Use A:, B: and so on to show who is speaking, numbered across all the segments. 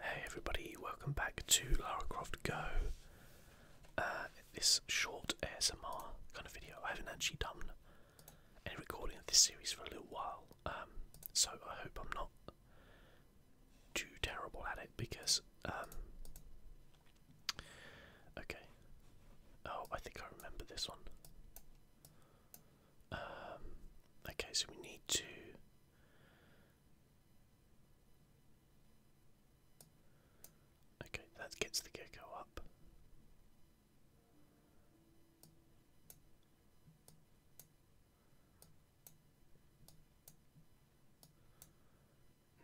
A: Hey everybody, welcome back to Lara Croft Go. Uh, this short ASMR kind of video. I haven't actually done any recording of this series for a little while, um, so I hope I'm not too terrible at it because, um, okay. Oh, I think I remember this one. Um, okay, so we need to Okay, that gets the gecko up.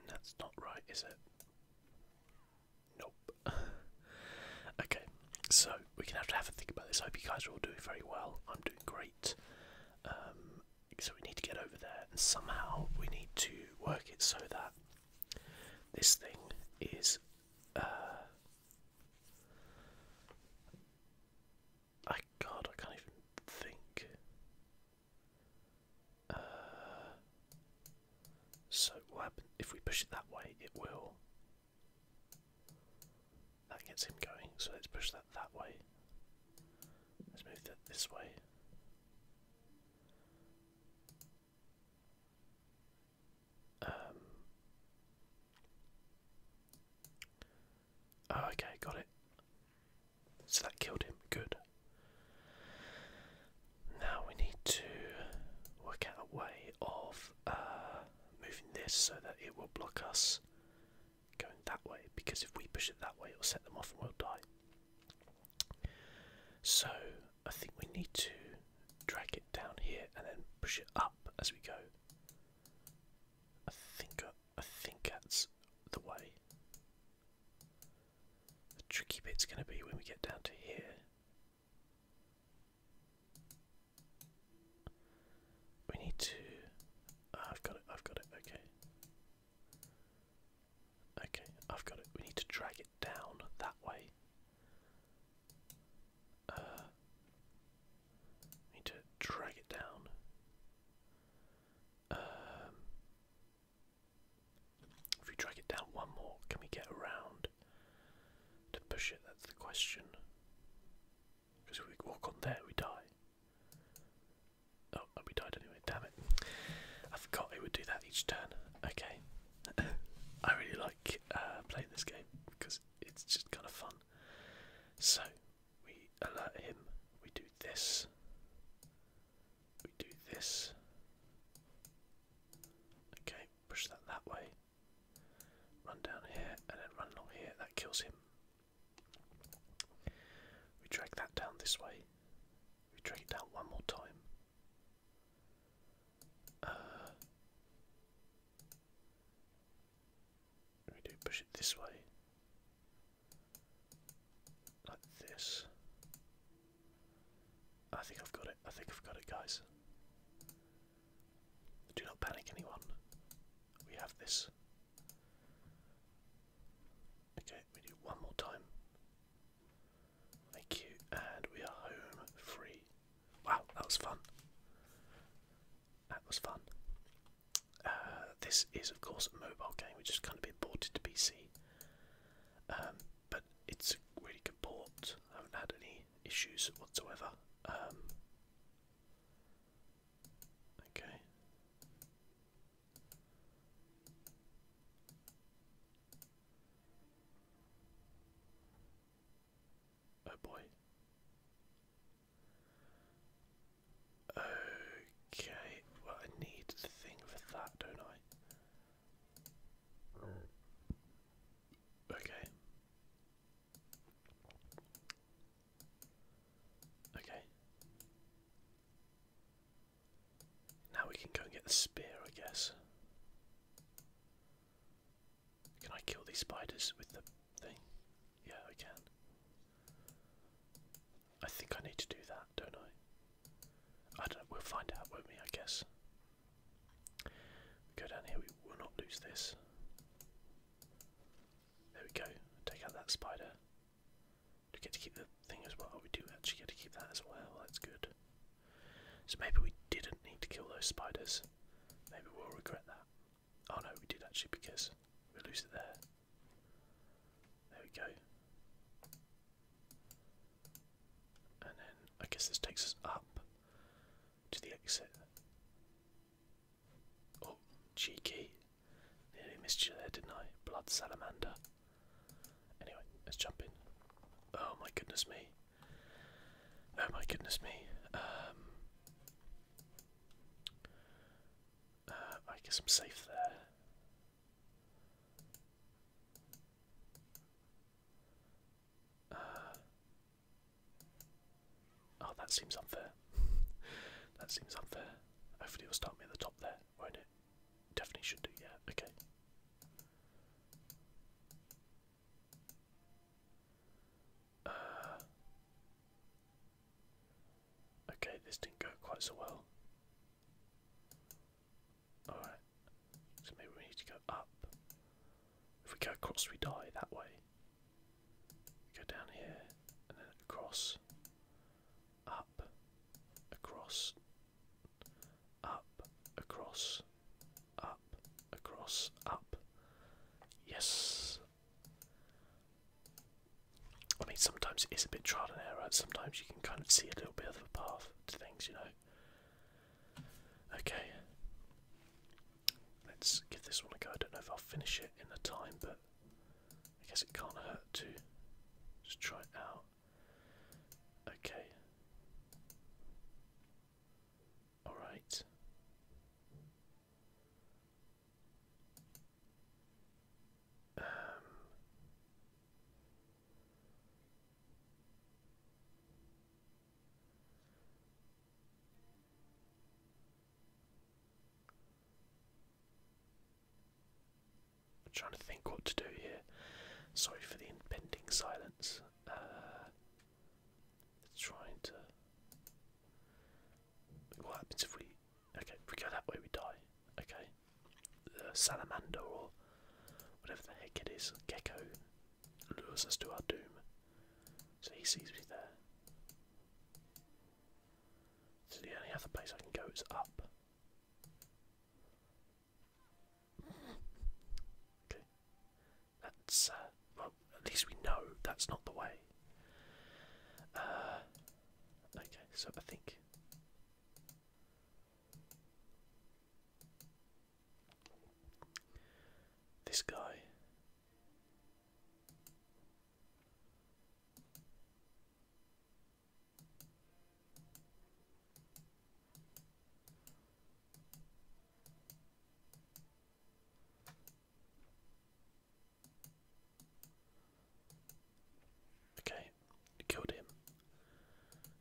A: That's not right, is it? Nope. okay, so we can gonna have to think about this. I hope you guys are all doing very well. I'm doing great. Um, so we need to get over there, and somehow we need to work it so that this thing is. Uh, I God, I can't even think. Uh, so what if we push it that way? It will that gets him going, so let's push that that way. Let's move that this way. Um, oh, okay, got it. So that killed him. Good. Now we need to work out a way of uh, moving this so that it will block us going that way because if we push it that way it will set them off and we'll die. So I think we need to drag it down here and then push it up as we go. I think uh, I think that's the way. The tricky bit's going to be when we get down to here. We need to. Ah, I've got it. I've got it. Okay. Okay, I've got it. We need to drag it down that way. Uh, need to drag it down. Um, if we drag it down one more, can we get around? to push it? That's the question. Because if we walk on there, we die. Oh, and we died anyway, damn it. I forgot it would do that each turn. Okay. I really like uh, playing this game because it's just kind of fun. So, we alert him, we do this, we do this. Okay, push that that way. Run down here and then run along here. That kills him. We drag that down this way. We drag it down one more time. Uh, we do push it this way. Like this. I think I've got it. I think I've got it, guys. Do not panic, anyone. We have this. Okay, we do one more time. Thank you, and we are home free. Wow, that was fun. That was fun. Uh, this is, of course, a mobile game which is kind of been ported to PC. Um, but it's a really good port. I haven't had any issues whatsoever. Um, okay. Oh boy. Okay, well I need the thing for that, don't I? Okay. Okay. Now we can go and get the spear, I guess. Can I kill these spiders with the thing? Yeah, I can. I think I need to do that, don't I? I don't we'll find out, won't we, I guess. We go down here, we will not lose this. There we go, take out that spider. we get to keep the thing as well? We do actually get to keep that as well, that's good. So maybe we didn't need to kill those spiders. Maybe we'll regret that. Oh no, we did actually because we lose it there. There we go. And then I guess this takes us up to the exit. Oh, cheeky. Nearly missed you there, didn't I? Blood salamander. Anyway, let's jump in. Oh my goodness me. Oh my goodness me. Um, uh, I guess I'm safe there. Uh, oh, that seems unfair. that seems unfair. Hopefully, it'll start me at the top there, won't it? Definitely should do, yeah, okay. Uh, Okay, this didn't go quite so well. Alright, so maybe we need to go up. If we go across, we die that way. go down here, and then across, up, across, up, across, up, across, up. Yes! I mean, sometimes it is a bit trial and error. Sometimes you can kind of see a little bit of a path to things, you know. Okay, let's give this one a go. I don't know if I'll finish it in the time, but I guess it can't hurt to just try it out. Okay. All right. Um, I'm trying to think what to do here. Sorry for the impending silence. Uh, trying to. What happens if we Okay, if we go that way, we die. Okay. The salamander or whatever the heck it is, gecko, lures us to our doom. So he sees me there. So the only other place I can go is up. Okay. That's, uh, well, at least we know that's not the way. Uh, Okay, so I think this guy Okay, killed him.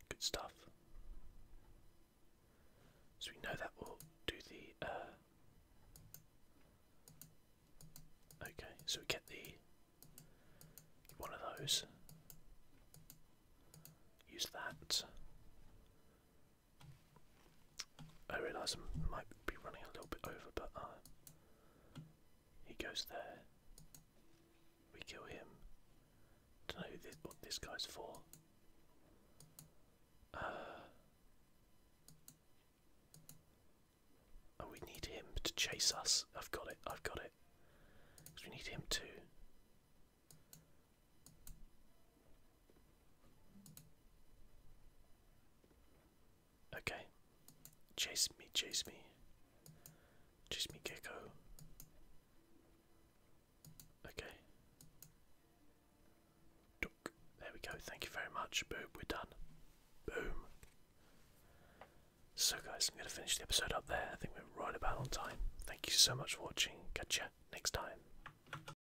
A: Good stuff. So we know that will do the. Uh... Okay, so we get the one of those. Use that. I realise I might be running a little bit over, but uh, he goes there. We kill him. Don't know this, what this guy's for. Uh, oh, we need him to chase us. I've got it. I've got it. we need him to. Okay. Chase me, chase me. Chase me, gecko. Okay. There we go. Thank you very much. Boom, we're done. Boom. So, guys, I'm going to finish the episode up there. I think we're right about on time. Thank you so much for watching. Catch ya next time.